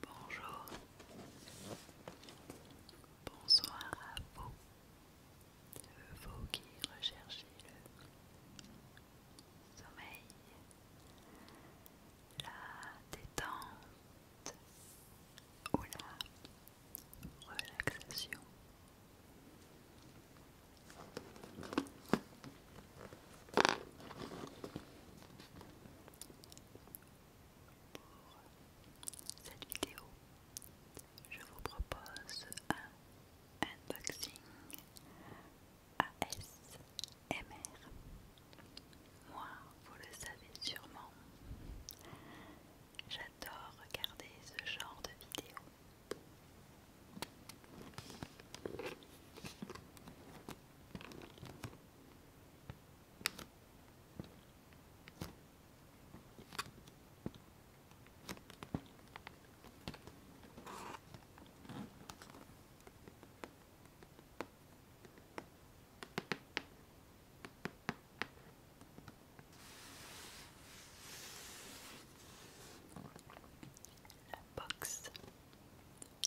Bonjour, bonsoir à vous, vous qui recherchez le sommeil, la détente ou la relaxation. Pour cette vidéo, je vous propose un unboxing ASMR. Moi, vous le savez sûrement, j'adore j'adore regarder ce genre de vidéos. La box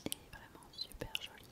est vraiment super jolie.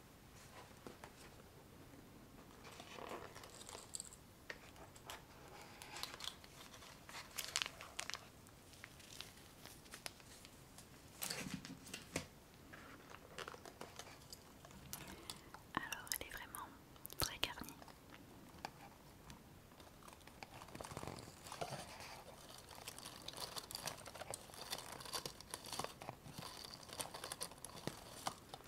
Alors, elle est vraiment très garnie.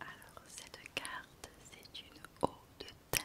Alors cette carte, c'est une eau de thym.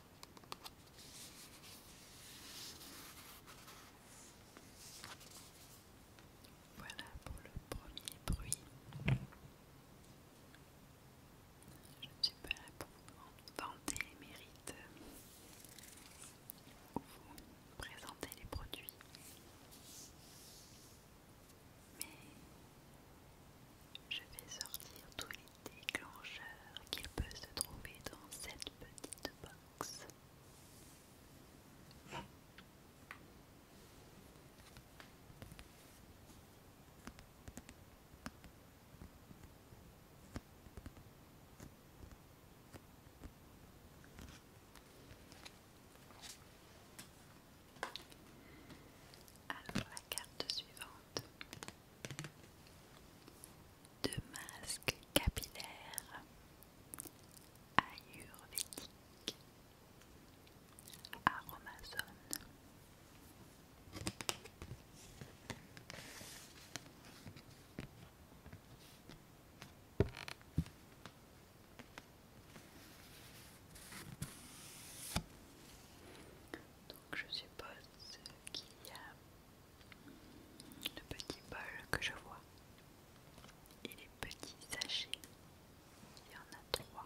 Voilà pour le premier bruit. Je ne suis pas là pour vous vanter les mérites vous présenter les produits. Mais je vais sortir tous les déclencheur qu'il peut se trouver dans cette petite box. Alors la carte suivante de masque capillaire ayurvédique aromazone. Donc je suppose qu'il y a le petit bol que je vois et les petits sachets, il y en a trois.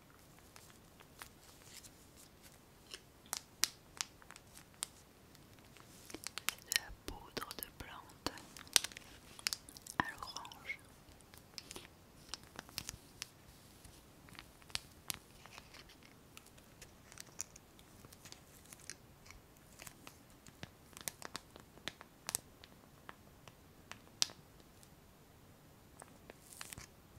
de la poudre de plante à l'orange.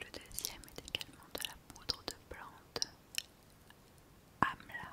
Le deuxième est également de la poudre de plante Amla.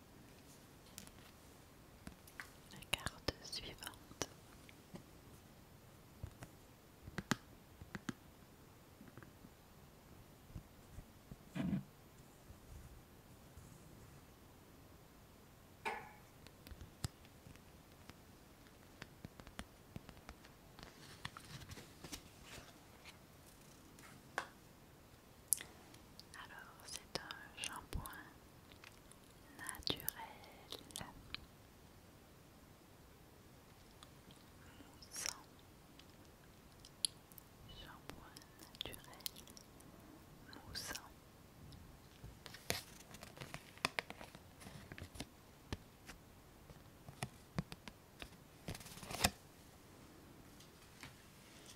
La carte suivante. Alors, c'est un shampoing naturel, moussant, shampoing naturel, moussant.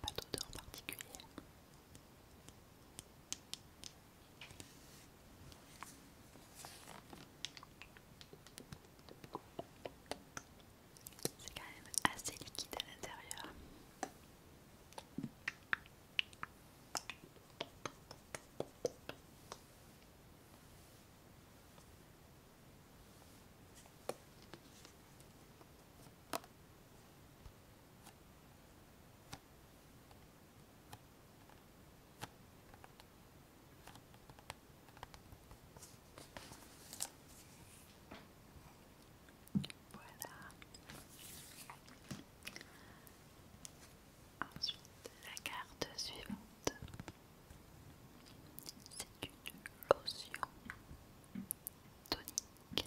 Pas d'odeur particulière. C'est quand même assez liquide à l'intérieur. Voilà. Ensuite, la carte suivante, c'est une lotion tonique.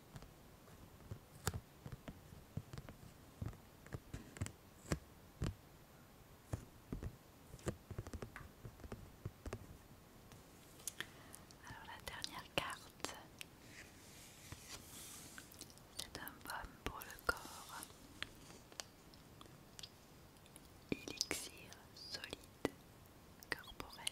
Alors la dernière carte, c'est un baume pour le corps. Élixir solide corporel.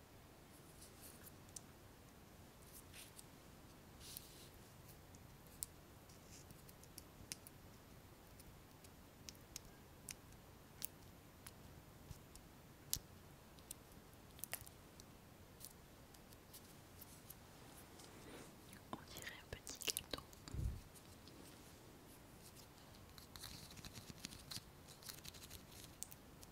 On dirait un petit gâteau. Je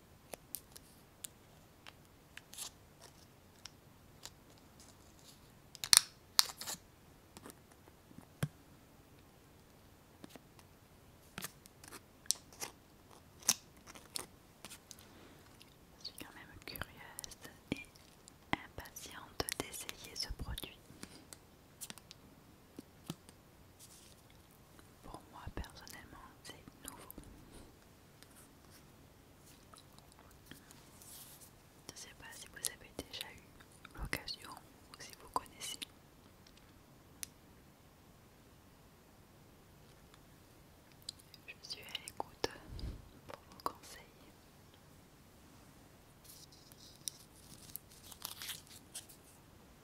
suis quand même curieuse et impatiente d'essayer ce produit. Pour moi personnellement, c'est nouveau. Je ne sais pas si vous avez déjà eu l'occasion ou si vous connaissez. Je suis à l'écoute pour vos conseils.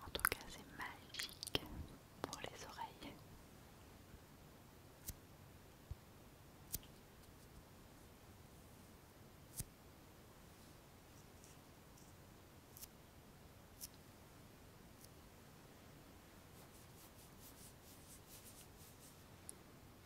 En tout cas, c'est magique pour les oreilles.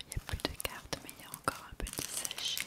il n'y a plus de cartes, mais il y a encore un petit sachet.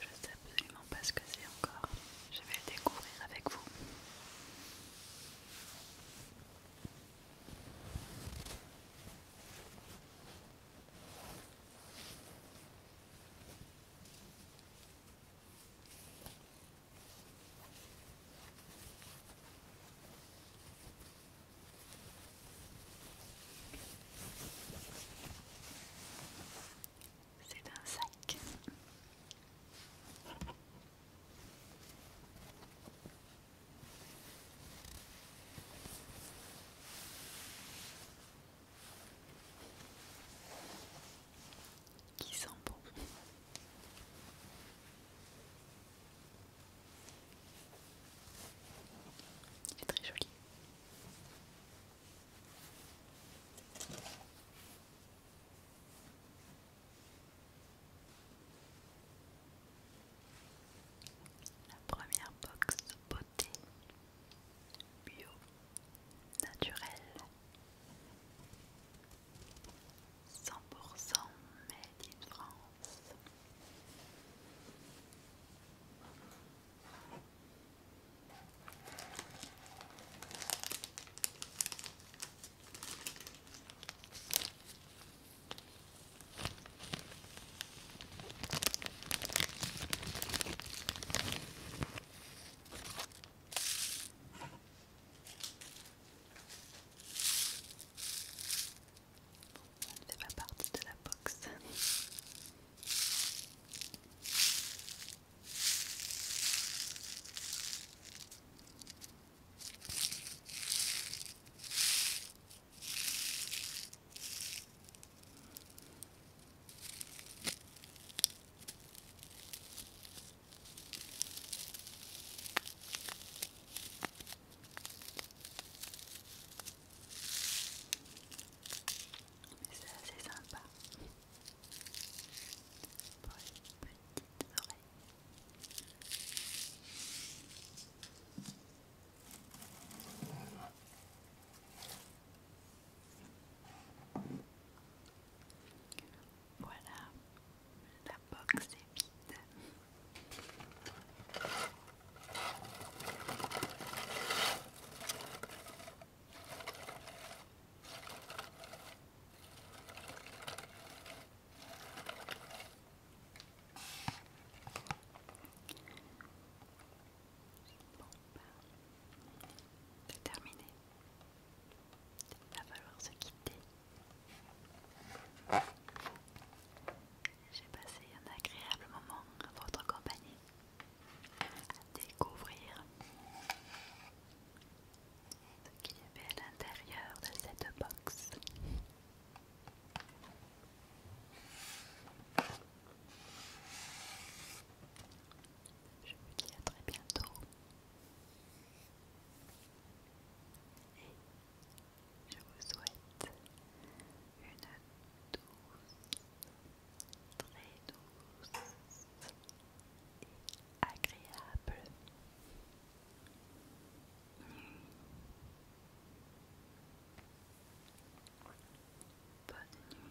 Je ne sais absolument pas ce que c'est encore. Je vais le découvrir avec vous. C'est un sac. Qui sent bon. C'est très joli. La première box beauté bio naturelle 100% made in France. Ça ne fait pas partie de la box c'est assez sympa pour les petites oreilles. Voilà, la box est vide. Bon, c'est terminé. Il va falloir se quitter. J'ai passé un agréable moment à votre compagnie, à découvrir ce qu'il y avait à l'intérieur de cette box. Je vous dis à très bientôt je vous souhaite une douce, très douce et agréable nuit. Bonne nuit.